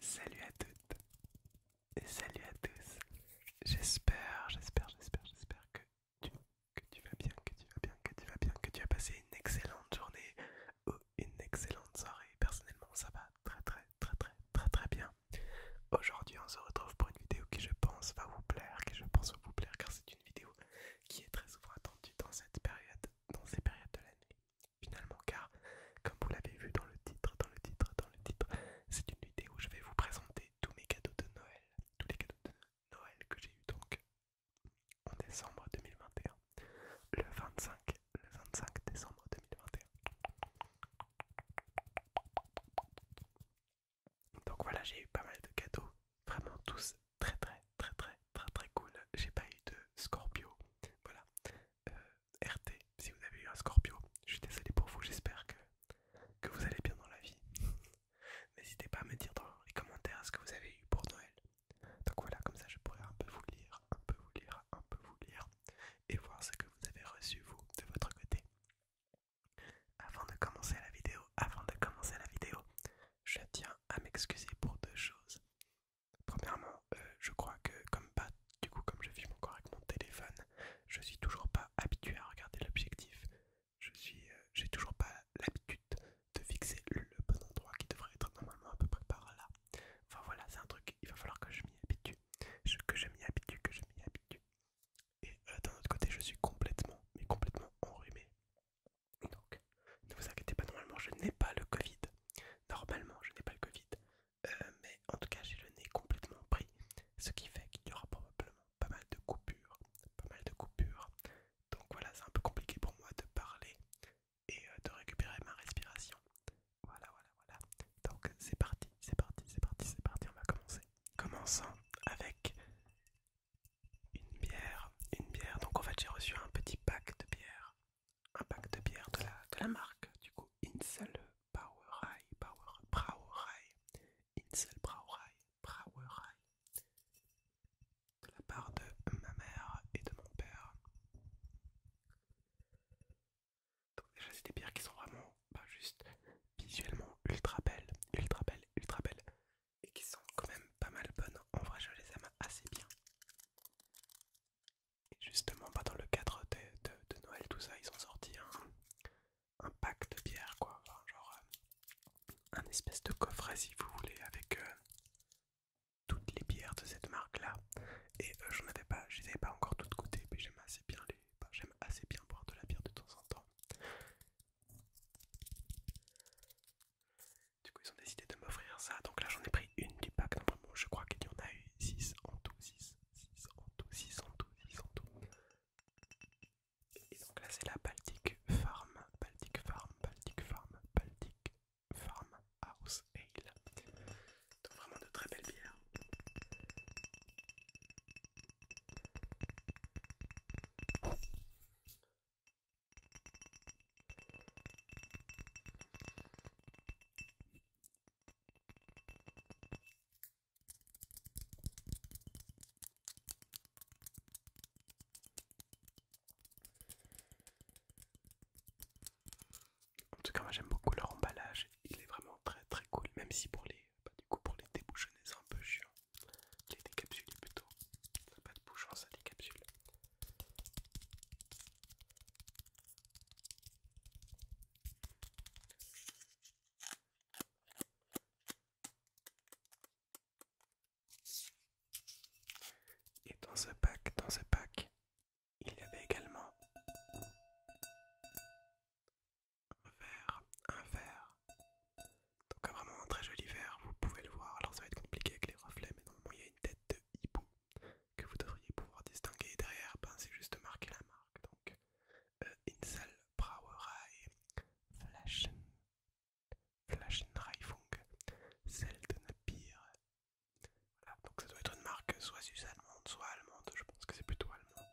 Salut à toutes et salut à tous. J'espère, j'espère, j'espère, j'espère que tu, que tu vas bien, que tu vas bien, que tu vas bien, que tu as passé une excellente journée ou une excellente soirée. Personnellement, ça va très très très très très très bien. Aujourd'hui, on se retrouve pour une vidéo qui je pense va vous plaire, qui je pense va vous plaire car c'est une vidéo qui est très souvent attendue dans cette période, dans ces périodes de l'année finalement car comme vous l'avez vu dans le titre, dans le titre, dans le titre, c'est une vidéo où je vais vous présenter tous mes cadeaux de Noël, tous les cadeaux de Noël que j'ai eu donc en décembre 2021, le 25, le 25 décembre 2021. Donc voilà, j'ai eu pas mal de cadeaux, vraiment tous très très très très très très cool. J'ai pas eu de Scorpio. Voilà. Euh, RT, si vous avez eu un Scorpio, je suis désolé pour vous, j'espère que, que vous allez bien dans la vie. N'hésitez pas à me dire dans les commentaires ce que vous avez eu pour Noël. Donc voilà, comme ça je pourrais un peu vous lire, un peu vous lire, un peu vous lire et voir ce que vous avez reçu vous de votre côté. Avant de commencer la vidéo, avant de commencer la vidéo, je tiens à m'excuser pour deux choses. Premièrement, euh, je crois que comme pas, du coup comme je filme encore avec mon téléphone, je suis toujours pas habitué à regarder l'objectif. Je suis, euh, j'ai toujours pas l'habitude de fixer le bon endroit qui devrait être normalement à peu près par là. Enfin voilà, c'est un truc, il va falloir que je m'y habitue, que je m'y habitue, que je m'y habitue. Et euh, d'un autre côté, je suis complètement, mais complètement enrhumé. Donc, ne vous inquiétez pas, normalement je n'ai pas le Covid. Normalement je n'ai pas le Covid. Euh, mais en tout cas j'ai le nez complètement pris. Ce qui fait qu'il y aura probablement pas mal de coupures. Pas mal de coupures. Donc voilà, c'est un peu compliqué pour moi de parler et euh, de récupérer ma respiration. Voilà, voilà, voilà. Donc c'est parti, c'est parti, c'est parti, c'est parti, on va commencer. Commençons avec une bière, une bière. Donc en fait j'ai reçu un petit pack de bière, un pack de bière de la, marque. Du coup, Insel Brauerei, Power, Brauerei, Insel Brauerei, Brauerei, de la part de ma mère et de mon père. Donc déjà c'est des bières qui sont vraiment, pas bah, juste visuellement ultra belles, ultra belles, ultra belles et qui sont quand même pas mal bonnes. En vrai, je les aime assez bien. Et justement, pas bah, dans le cadre de, Noël, tout ça, ils ont sorti un, pack de bières, quoi. genre, euh, un espèce de coffret, si vous voulez, avec euh, toutes les bières de cette marque-là. Et je euh, j'en avais pas, je les avais pas encore toutes goûtées, mais j'aime assez bien les. Bah, j'aime assez bien boire de la bière de temps en temps. Du coup, ils ont décidé de m'offrir ça. Donc là, j'en ai pris une du pack. je crois qu'il y en a eu 6 en tout. 6, 6 en tout, 6 en tout, 6 en tout. Et donc là, c'est la Baltic Farm. Baltic Farm, Baltic Farm, Baltic Farm House Ale. Donc vraiment de très belles bières. En tout cas moi j'aime beaucoup leur emballage, il est vraiment très très cool, même si pour les bah, du coup pour les débouchonner c'est un peu chiant. Des capsules plutôt. pas de bouchon, hein, ça décapsule. Et dans ce pack, dans ce pack, il y avait également un verre, un verre donc vraiment un très joli vert, vous pouvez le voir. Alors ça va être compliqué avec les reflets, mais normalement il y a une tête de hibou que vous devriez pouvoir distinguer. derrière, ben, c'est juste marquer la marque. Donc euh, Insel Brauerei Flaschen Flaschenreifung Seltene de Voilà, donc ça doit être une marque soit suisse allemande, soit allemande. Je pense que c'est plutôt allemand.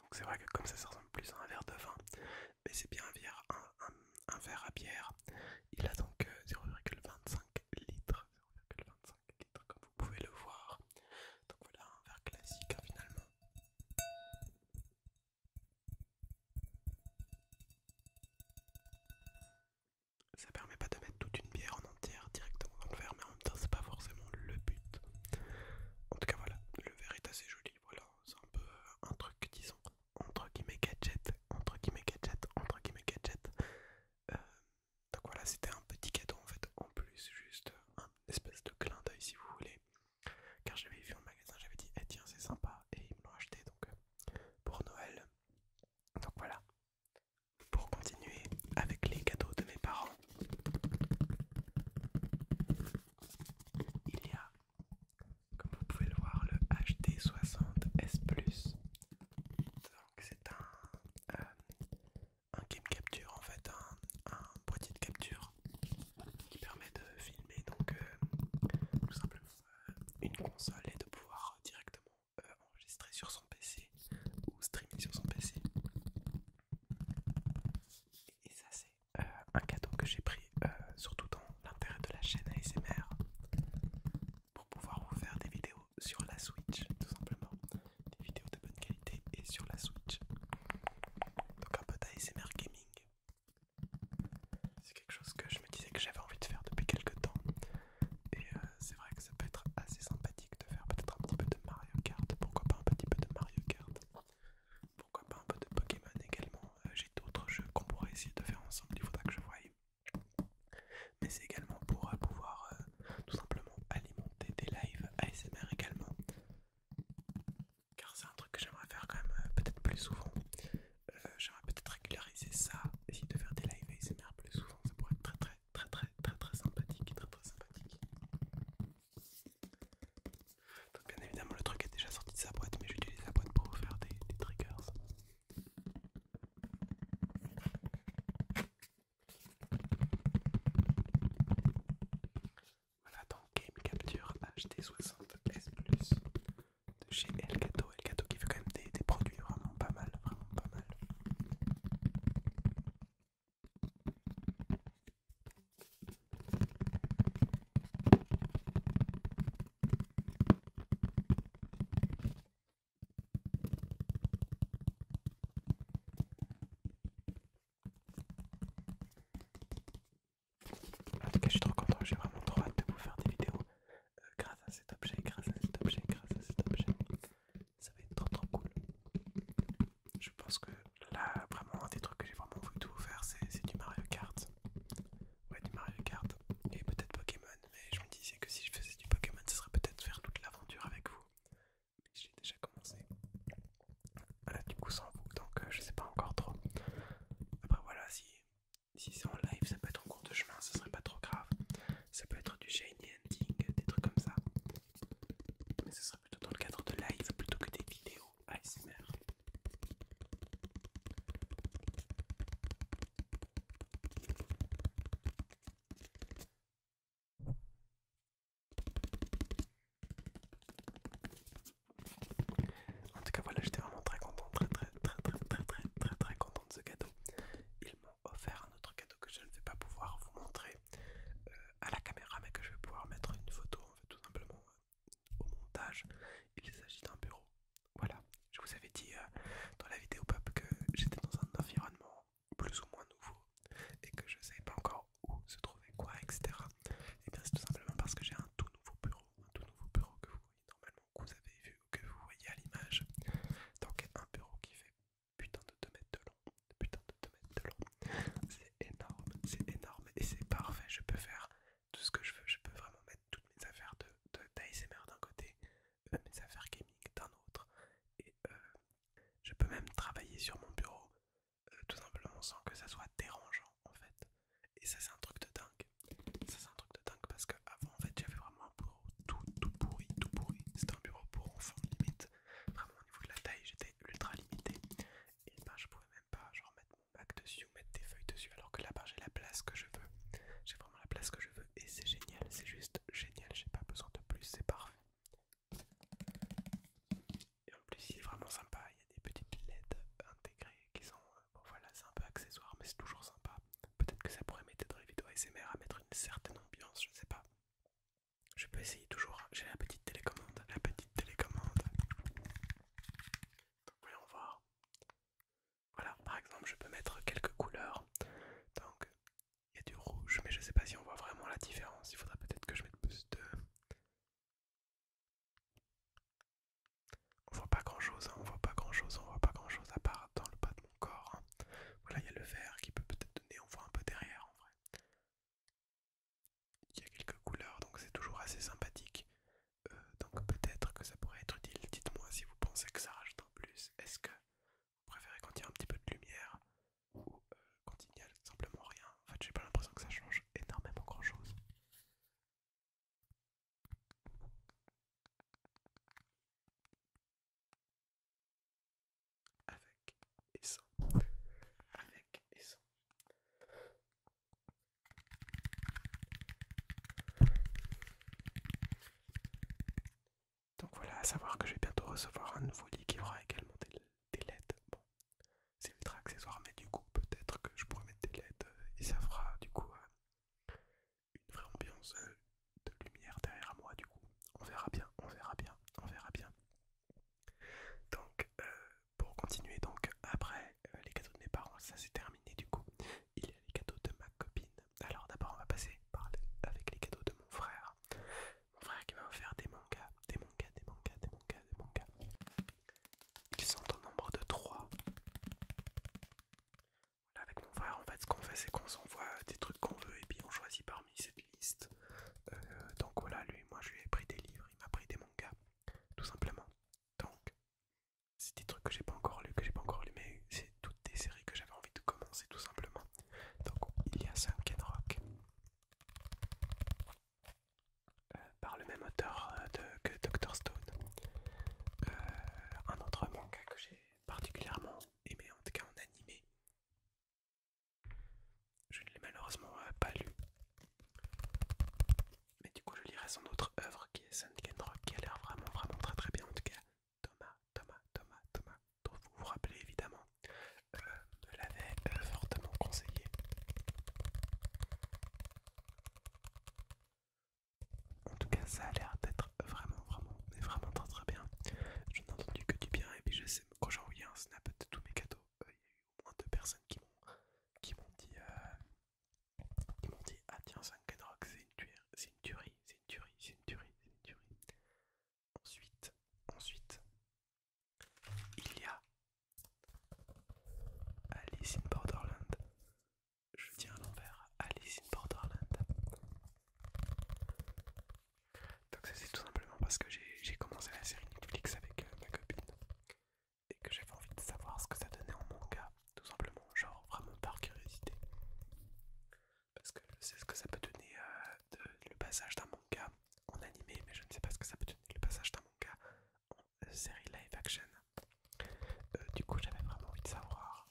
Donc c'est vrai que comme ça, ça ressemble plus à un verre de vin, mais c'est bien un verre, à bière. Il a donc 0,25 euh, litres, 0,25 comme vous pouvez le voir. Donc voilà un verre classique hein, finalement. Ça permet pas de mettre toute une bière en entière directement dans le verre, mais en même temps, c'est pas forcément le but. En tout cas, voilà, le verre est assez joli. Voilà, c'est un peu euh, un truc, disons, entre guillemets gadget, entre guillemets gadget, entre guillemets gadget. Euh, donc voilà, c'était un petit cadeau en fait, en plus, juste euh, un espèce de clin d'œil si vous voulez car j'avais vu en magasin, j'avais dit eh tiens c'est sympa et ils me l'ont acheté donc euh, pour Noël. Donc voilà. Pour continuer avec les cadeaux de mes parents, il y a, comme vous pouvez le voir, le HD60S Plus. Donc c'est euh, un, game capture en fait, un, un boîtier de capture qui permet de filmer donc euh, tout simplement euh, une console et de pouvoir directement euh, enregistrer sur son PC ou streamer sur son PC. Et ça c'est un cadeau que j'ai pris surtout dans l'intérêt de la chaîne ASMR pour pouvoir vous faire des vidéos sur la Switch tout simplement, des vidéos de bonne qualité et sur la Switch. Donc un peu d'ASMR gaming. C'est quelque chose que je me disais que j'avais envie de faire depuis quelques temps. Et euh, c'est vrai que ça peut être assez sympathique de faire peut-être un petit peu de Mario Kart. Pourquoi pas un petit peu de Mario Kart Pourquoi pas un peu de Pokémon également euh, J'ai d'autres jeux qu'on pourrait essayer de faire ensemble, il faudra que je voie. Mais c'est également pour euh, pouvoir tout simplement alimenter des lives ASMR également. Car c'est un truc que j'aimerais faire quand même euh, peut-être plus souvent. Euh, j'aimerais peut-être régulariser ça, essayer de faire des live ASMR plus souvent. Ça pourrait être très très très très très très sympathique. sympathique. Donc bien évidemment le truc est déjà sorti de sa boîte mais j'utilise la boîte pour faire des triggers. Voilà, donc Game Capture HD60S Plus de chez Elgato. Elgato qui fait quand même des produits vraiment pas mal, vraiment pas mal. En tout cas, je suis trop content, j'ai vraiment trop hâte de vous faire des vidéos euh, grâce à cet objet, grâce à cet objet, grâce à cet objet. Ça va être trop trop cool. Je pense que là, vraiment, un des trucs que j'ai vraiment voulu vous faire, c'est du Mario Kart. Ouais, du Mario Kart et peut-être Pokémon. Mais je me disais que si je faisais du Pokémon, ça serait peut-être faire toute l'aventure avec vous j'ai déjà commencé voilà, du coup sans vous donc euh, je sais pas encore trop après voilà si si c'est en live ça peut être en cours de chemin ça serait pas trop grave ça peut être du shiny ending des trucs comme ça mais ce serait plutôt dans le cadre de live plutôt que des vidéos ASMR en tout cas voilà j'étais vraiment très content, très très très très très très très très content de ce cadeau. Ils m'ont offert un autre cadeau que je ne vais pas pouvoir vous montrer euh, à la caméra mais que je vais pouvoir mettre une photo tout simplement euh, au montage. Il s'agit d'un bureau. Voilà, je vous avais dit euh, dans la vidéo pop que j'étais dans un environnement plus ou moins nouveau et que je ne sais pas encore où se trouver quoi, etc. Et eh bien c'est tout simplement parce que j'ai un tout nouveau bureau, un tout nouveau bureau que vous voyez normalement, que vous avez vu, que vous voyez à l'image. Donc un bureau qui fait putain de 2 mètres de long, putain de 2 mètres de long. C'est énorme, c'est énorme et c'est parfait, je peux faire tout ce que je veux, je peux vraiment mettre toutes mes affaires de d'ASMR d'un côté, euh, mes affaires gaming d'un autre et euh, je peux même travailler sur mon bureau euh, tout simplement sans que ça soit dérangeant en fait. Et ça c'est un truc de dingue. Ça c'est un truc de dingue parce que avant en fait j'avais vraiment un bureau tout tout pourri, tout pourri. C'était un bureau pour enfants limite. Vraiment au niveau de la taille j'étais ultra limité. Et ben je pouvais même pas mettre mon bac dessus ou mettre des feuilles dessus alors que là-bas j'ai la place que je veux. J'ai vraiment la place que je veux et c'est génial, c'est juste génial, j'ai pas besoin de plus, c'est parfait. Et en plus c'est vraiment sympa, il y a des petites LED intégrées qui sont... Euh, voilà, c'est un peu accessoire mais c'est toujours sympa. Peut-être que ça pourrait mettre dans les vidéos ASMR à mettre une certaine ambiance, je ne sais pas. Je peux essayer toujours, j'ai la petite télécommande, la petite télécommande. voyons voir. Voilà, par exemple je peux mettre quelques couleurs. Donc il y a du rouge, mais je ne sais pas si on voit vraiment la différence. Il faudrait peut-être que je mette plus de. On voit pas grand chose, on hein. on voit pas grand chose, on voit pas grand chose à part dans le bas de mon corps. Hein. Voilà, il y a le vert qui peut peut-être donner, on voit un peu derrière en vrai. Il y a quelques couleurs, donc c'est toujours assez sympathique. Euh, donc peut-être que ça pourrait être utile. Dites-moi si vous pensez que ça rajoute en plus. Est-ce que vous préférez quand il y a un petit peu de lumière ou euh, quand il n'y a simplement rien. En fait, j'ai pas l'impression que ça change énormément grand chose. Avec et sans. Avec et sans. Donc voilà, à savoir que je vais bientôt recevoir un nouveau lit qui aura également des, LED. Bon, c'est ultra accessoire, mais du coup, peut-être que je pourrais mettre des LED euh, et ça fera du coup euh, une vraie ambiance euh, de lumière derrière moi. Du coup, on verra bien, on verra bien, on verra bien. Donc, pour continuer, donc après les cadeaux de mes parents, ça c'est terminé. Du coup, il y a les cadeaux de ma alors d'abord on va passer par avec les cadeaux de mon frère. Mon frère qui m'a offert des mangas, des mangas, des mangas, des mangas, des mangas. Ils sont au nombre de 3. avec mon frère en fait ce qu'on fait c'est qu'on s'envoie des trucs qu'on veut et puis on choisit parmi cette liste. Euh, donc voilà, lui, moi je lui ai pris des livres, il m'a pris des mangas, tout simplement. Donc c'est des trucs que j'ai pas encore lu, que j'ai pas encore lu, mais c'est toutes des séries que j'avais envie de commencer tout simplement. Donc il y a Sunken Rock euh, par le même auteur euh, que Dr Stone. Euh, un autre manga que j'ai particulièrement aimé, en tout cas en animé. Je ne l'ai malheureusement pas lu. Mais du coup je lirai son autre œuvre qui est Sunken Rock qui a l'air vraiment vraiment très très bien en tout cas. Thomas, Thomas, Thomas, Thomas, dont vous vous rappelez évidemment, je euh, me l'avait euh, fortement conseillé. En tout cas, ça a l'air d'être vraiment, vraiment, mais vraiment très très bien. Je n'ai entendu que du bien, et puis je sais, qu'aujourd'hui, un snap de tous mes cadeaux, euh, il y a eu au moins deux personnes qui m'ont qui m'ont dit, dit, ah tiens, 5, un c'est une, c'est une tuerie, c'est une tuerie, c'est une tuerie, c'est une tuerie. Ensuite, ensuite, il y a Alice in Borderland. Je tiens à l'envers, Alice in Borderland. Donc ça c'est tout simplement parce que j'ai commencé la série Netflix avec euh, ma copine et que j'avais envie de savoir ce que ça donnait en manga, tout simplement, genre vraiment par curiosité parce que je sais ce que ça peut donner euh, le passage d'un manga en animé, mais je ne sais pas ce que ça peut donner le passage d'un manga en euh, série live action. Euh, du coup, j'avais vraiment envie de savoir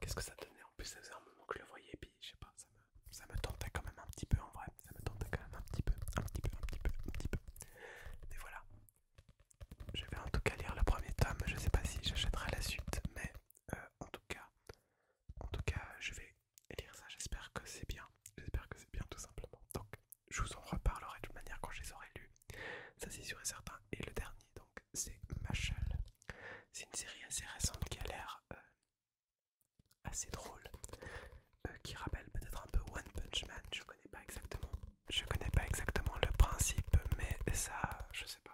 qu'est-ce que ça donnait. En plus, ça faisait un moment que je le voyais, et puis je sais pas, ça me, ça tentait quand même un petit peu en vrai. Ça me tentait quand même un petit peu, un petit peu, un petit peu, un petit peu. Mais voilà, je vais en tout cas lire le premier tome, je sais pas si j'achèterai la suite, mais euh, en tout cas, en tout cas, je vais lire ça. J'espère que c'est bien, j'espère que c'est bien tout simplement. Donc, je vous en reparlerai de toute manière quand je les aurai lus. Ça c'est sûr et certain. Et le dernier, donc, c'est Machal. C'est une série assez récente qui a l'air euh, assez drôle, euh, qui rappelle peut-être un peu One Punch Man. Je connais pas exactement, je connais pas exactement le principe, mais ça, je sais pas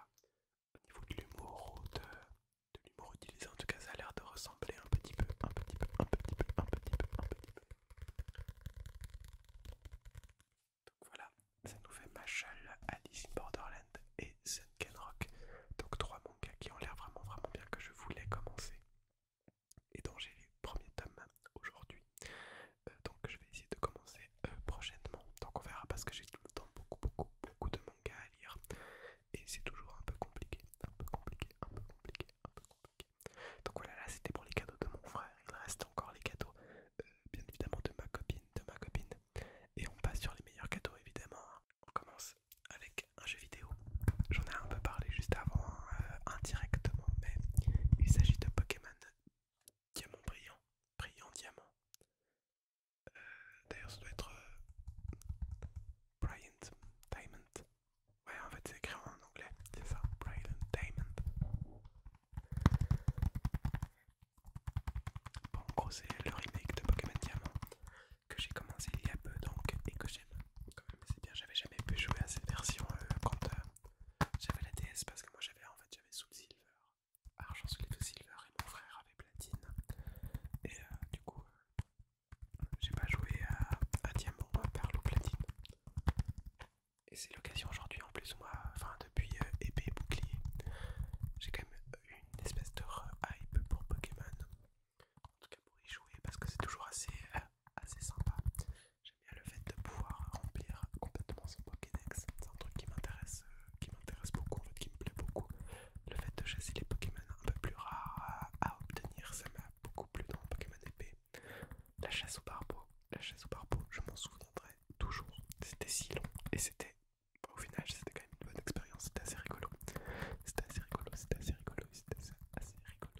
au niveau de l'humour de, de l'humour utilisé en tout cas ça a l'air de ressembler un petit peu un petit peu un petit peu un petit peu un petit peu donc voilà ça nous fait Machal, Alice in Borderland et Rock. donc trois mangas qui ont l'air vraiment vraiment bien que je voulais commencer et dont j'ai les premiers tomes aujourd'hui euh, donc je vais essayer de commencer euh, prochainement. Donc on verra parce que j'ai tout le temps beaucoup beaucoup beaucoup de mangas à lire. Et c'est toujours un peu compliqué. Un peu compliqué, un peu compliqué, un peu compliqué. Donc voilà là c'était pour les cadeaux de mon frère. Il reste encore les cadeaux euh, bien évidemment de ma copine, de ma copine. Et on passe sur les meilleurs cadeaux évidemment. Hein. On commence avec un jeu vidéo. J'en ai un peu parlé juste avant, hein, indirectement, mais il s'agit de Pokémon diamant brillant, brillant diamant. Euh, d'ailleurs, ça doit être euh, Bryant Diamond. Ouais, en fait, c'est écrit en anglais, c'est ça, Brilliant Diamond. Bon, en gros, c'est le remake de Pokémon Diamant que j'ai commencé il y a peu donc et que j'aime quand même c'est bien j'avais jamais pu jouer à cette version euh, quand j'avais la DS parce que moi j'avais en fait j'avais Soul Silver Argent, Solide, Silver et mon frère avait Platine. Et euh, du coup, euh, j'ai pas joué à, Diamant, à Platine. Et c'est l'occasion aujourd'hui en plus, moi, enfin depuis euh, épée et bouclier, j'ai quand même eu une espèce de hype pour Pokémon. En tout cas pour y jouer parce que c'est toujours assez, assez sympa. J'aime bien le fait de pouvoir remplir complètement son Pokédex. C'est un truc qui m'intéresse euh, beaucoup, qui me plaît beaucoup. Le fait de chasser les Pokémon un peu plus rares à, obtenir, ça m'a beaucoup plu dans Pokémon épée. La chasse au barbeau, la chasse au je m'en souviendrai toujours. C'était si long et c'était, au final, c'était quand même une bonne expérience. C'était assez rigolo. C'était assez rigolo, c'était assez rigolo, c'était assez rigolo, assez rigolo.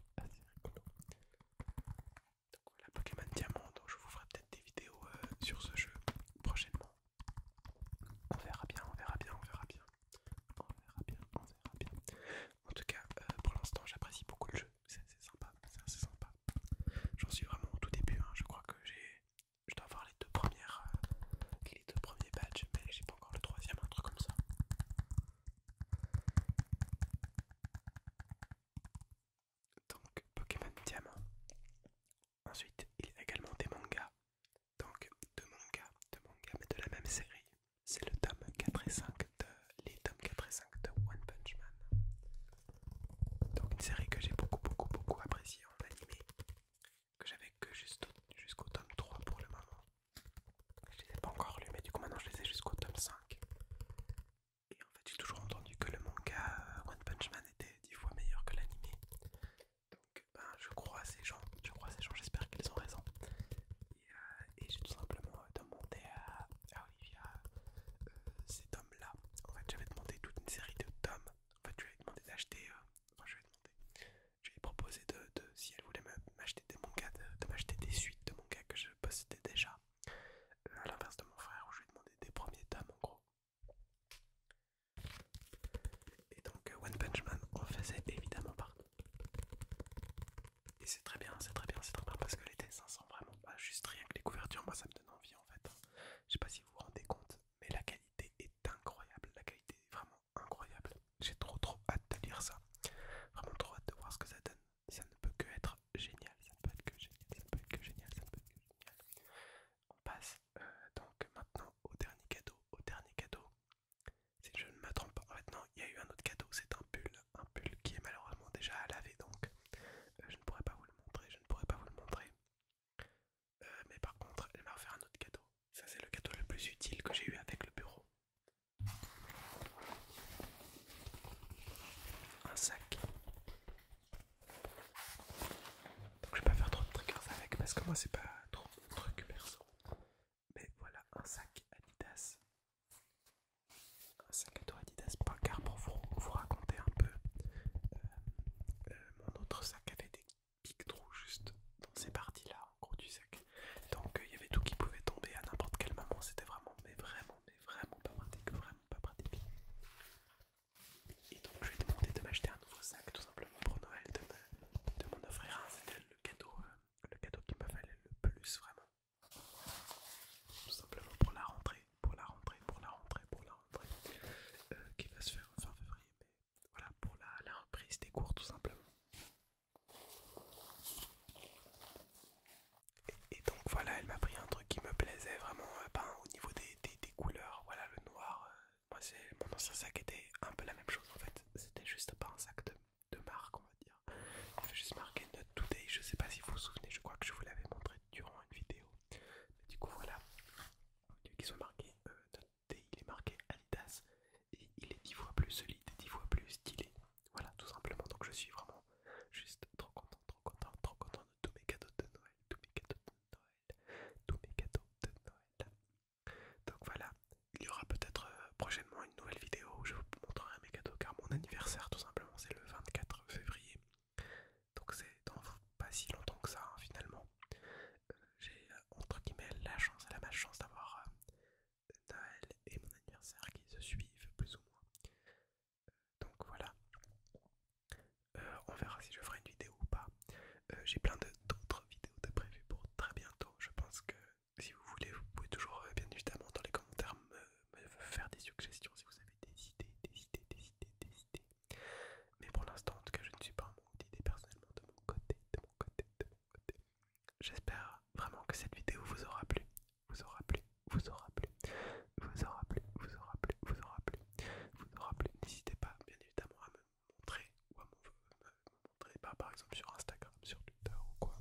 Donc voilà, Pokémon Diamant, donc je vous ferai peut-être des vidéos euh, sur ce jeu prochainement. On verra bien, on verra bien, on verra bien. On verra bien, on verra bien. En tout cas, euh, pour l'instant, j'apprécie beaucoup le jeu. C'est sympa, c'est sympa. J'en suis vraiment au tout début, hein. je crois que j'ai... Je dois avoir les deux premières... Euh, les deux premiers badges, mais j'ai pas encore le troisième, un truc comme ça donc Pokémon Diamant. Ensuite, il y a également des mangas. Donc deux mangas, deux mangas mais de la même série. C'est le tome 4 et 5 de les tomes 4 et 5 de One Punch Man. Donc une série que j'ai beaucoup beaucoup beaucoup appréciée en animé. Que j'avais que jusqu'au tome 3 pour le moment. Je les ai pas encore lus mais du coup maintenant je les ai jusqu'au tome 5. Et en fait, j'ai toujours entendu que le manga euh, One Punch Man était 10 fois meilleur que l'animé. Donc, ben, je crois à ces gens, je crois ces gens, j'espère qu'ils ont raison. Euh, et, j'ai tout simplement euh, demandé à, Olivia ces tomes-là. En fait, j'avais demandé toute une série de tomes. En fait, je lui avais demandé d'acheter. je lui ai Je lui proposé de, si elle voulait m'acheter des mangas, de m'acheter des suites de mangas que je possédais déjà à l'inverse de mon frère, où je lui ai demandé des premiers tomes en gros. Et donc, euh, One Punch Man en faisait évidemment partie. Et c'est très bien, c'est très bien, c'est très bien parce que les dessins sont vraiment pas juste rien que les couvertures, moi ça me donne envie en fait. Je sais pas si vous vous rendez compte, mais la qualité est incroyable, la qualité est vraiment incroyable. J'ai trop trop hâte de lire ça, vraiment trop hâte de voir ce que ça donne ça ne peut que être génial, ça ne peut être que génial, ça ne peut être que génial, ça ne peut que génial. On passe euh, donc maintenant au dernier cadeau, au dernier cadeau. Si je ne me trompe pas, en fait non, il y a eu un autre cadeau, c'est un pull, un pull qui est malheureusement déjà à laver donc euh, je ne pourrais pas vous le montrer, je ne pourrais pas vous le montrer. Euh, mais par contre, elle m'a offert un autre cadeau. Ça c'est le cadeau le plus utile que j'ai eu avec le bureau un sac. Donc je vais pas faire trop de trucs avec parce que moi c'est pas trop de truc perso. Mais voilà un sac Adidas. Un sac Adidas pas car pour vous, raconter un peu. Euh, euh, mon autre sac avait des pics trous juste dans ces parties là en gros du sac. Donc euh, il y avait tout qui pouvait tomber à n'importe quel moment. C'était vraiment mais vraiment mais vraiment pas pratique, vraiment pas pratique. Et donc je lui ai demandé de m'acheter un nouveau sac tout simplement pour Noël, de mon c'était le cadeau, euh, le cadeau qui me fallait le plus vraiment. Tout simplement pour la rentrée, pour la rentrée, pour la rentrée, pour la euh, qui va se faire fin février, mais voilà, pour la, la reprise des cours tout simplement. Et, donc voilà, elle m'a pris un truc qui me plaisait vraiment euh, ben, au niveau des, couleurs. Voilà, le noir, euh, moi c'est mon ancien sac était un peu la même chose en fait. C'était juste pas un sac de, marque, on va dire. Il fait juste marqué Not Today. Je sais pas si vous vous souvenez, je crois que je vous l'avais montré durant une vidéo. du coup, voilà, qui sont marqués euh, il est marqué Adidas et il est 10 fois plus solide, 10 fois plus stylé. Voilà, tout simplement. Donc je suis vraiment juste trop content, trop content, trop content de tous mes cadeaux de Noël, tous mes cadeaux de Noël, tous mes cadeaux de Noël. Donc voilà, il y aura peut-être euh, prochainement une nouvelle vidéo où je vous montrerai mes cadeaux car mon anniversaire tout simplement c'est le 24 février. Donc c'est dans pas si longtemps que ça hein, finalement. Euh, j'ai euh, entre guillemets la chance, elle a chance d'avoir Noël et mon anniversaire qui se suivent plus ou moins. Euh, donc voilà. Euh, on verra si je ferai une vidéo ou pas. Euh, j'ai plein d'autres vidéos de prévues pour très bientôt. Je pense que si vous voulez, vous pouvez toujours, bien évidemment, dans les commentaires me, faire des suggestions si vous avez des idées, des idées, des idées, des idées. Mais pour l'instant, en tout cas, je ne suis pas en mode personnellement de mon côté, de mon côté, de mon côté. J'espère vraiment que cette vidéo vous aura plu, vous aura plu, vous aura plu, vous aura plu, vous aura plu, vous aura plu, vous aura plu. N'hésitez pas, bien évidemment, à me montrer ou à me, montrer, bah, par exemple sur Instagram, sur Twitter ou quoi,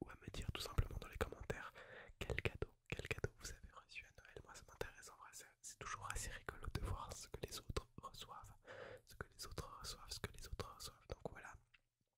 ou à me dire tout simplement dans les commentaires quel cadeau, quel cadeau vous avez reçu à Noël. Moi, ça m'intéresse en vrai, c'est toujours assez rigolo de voir ce que les autres reçoivent, ce que les autres reçoivent, ce que les autres reçoivent. Donc voilà.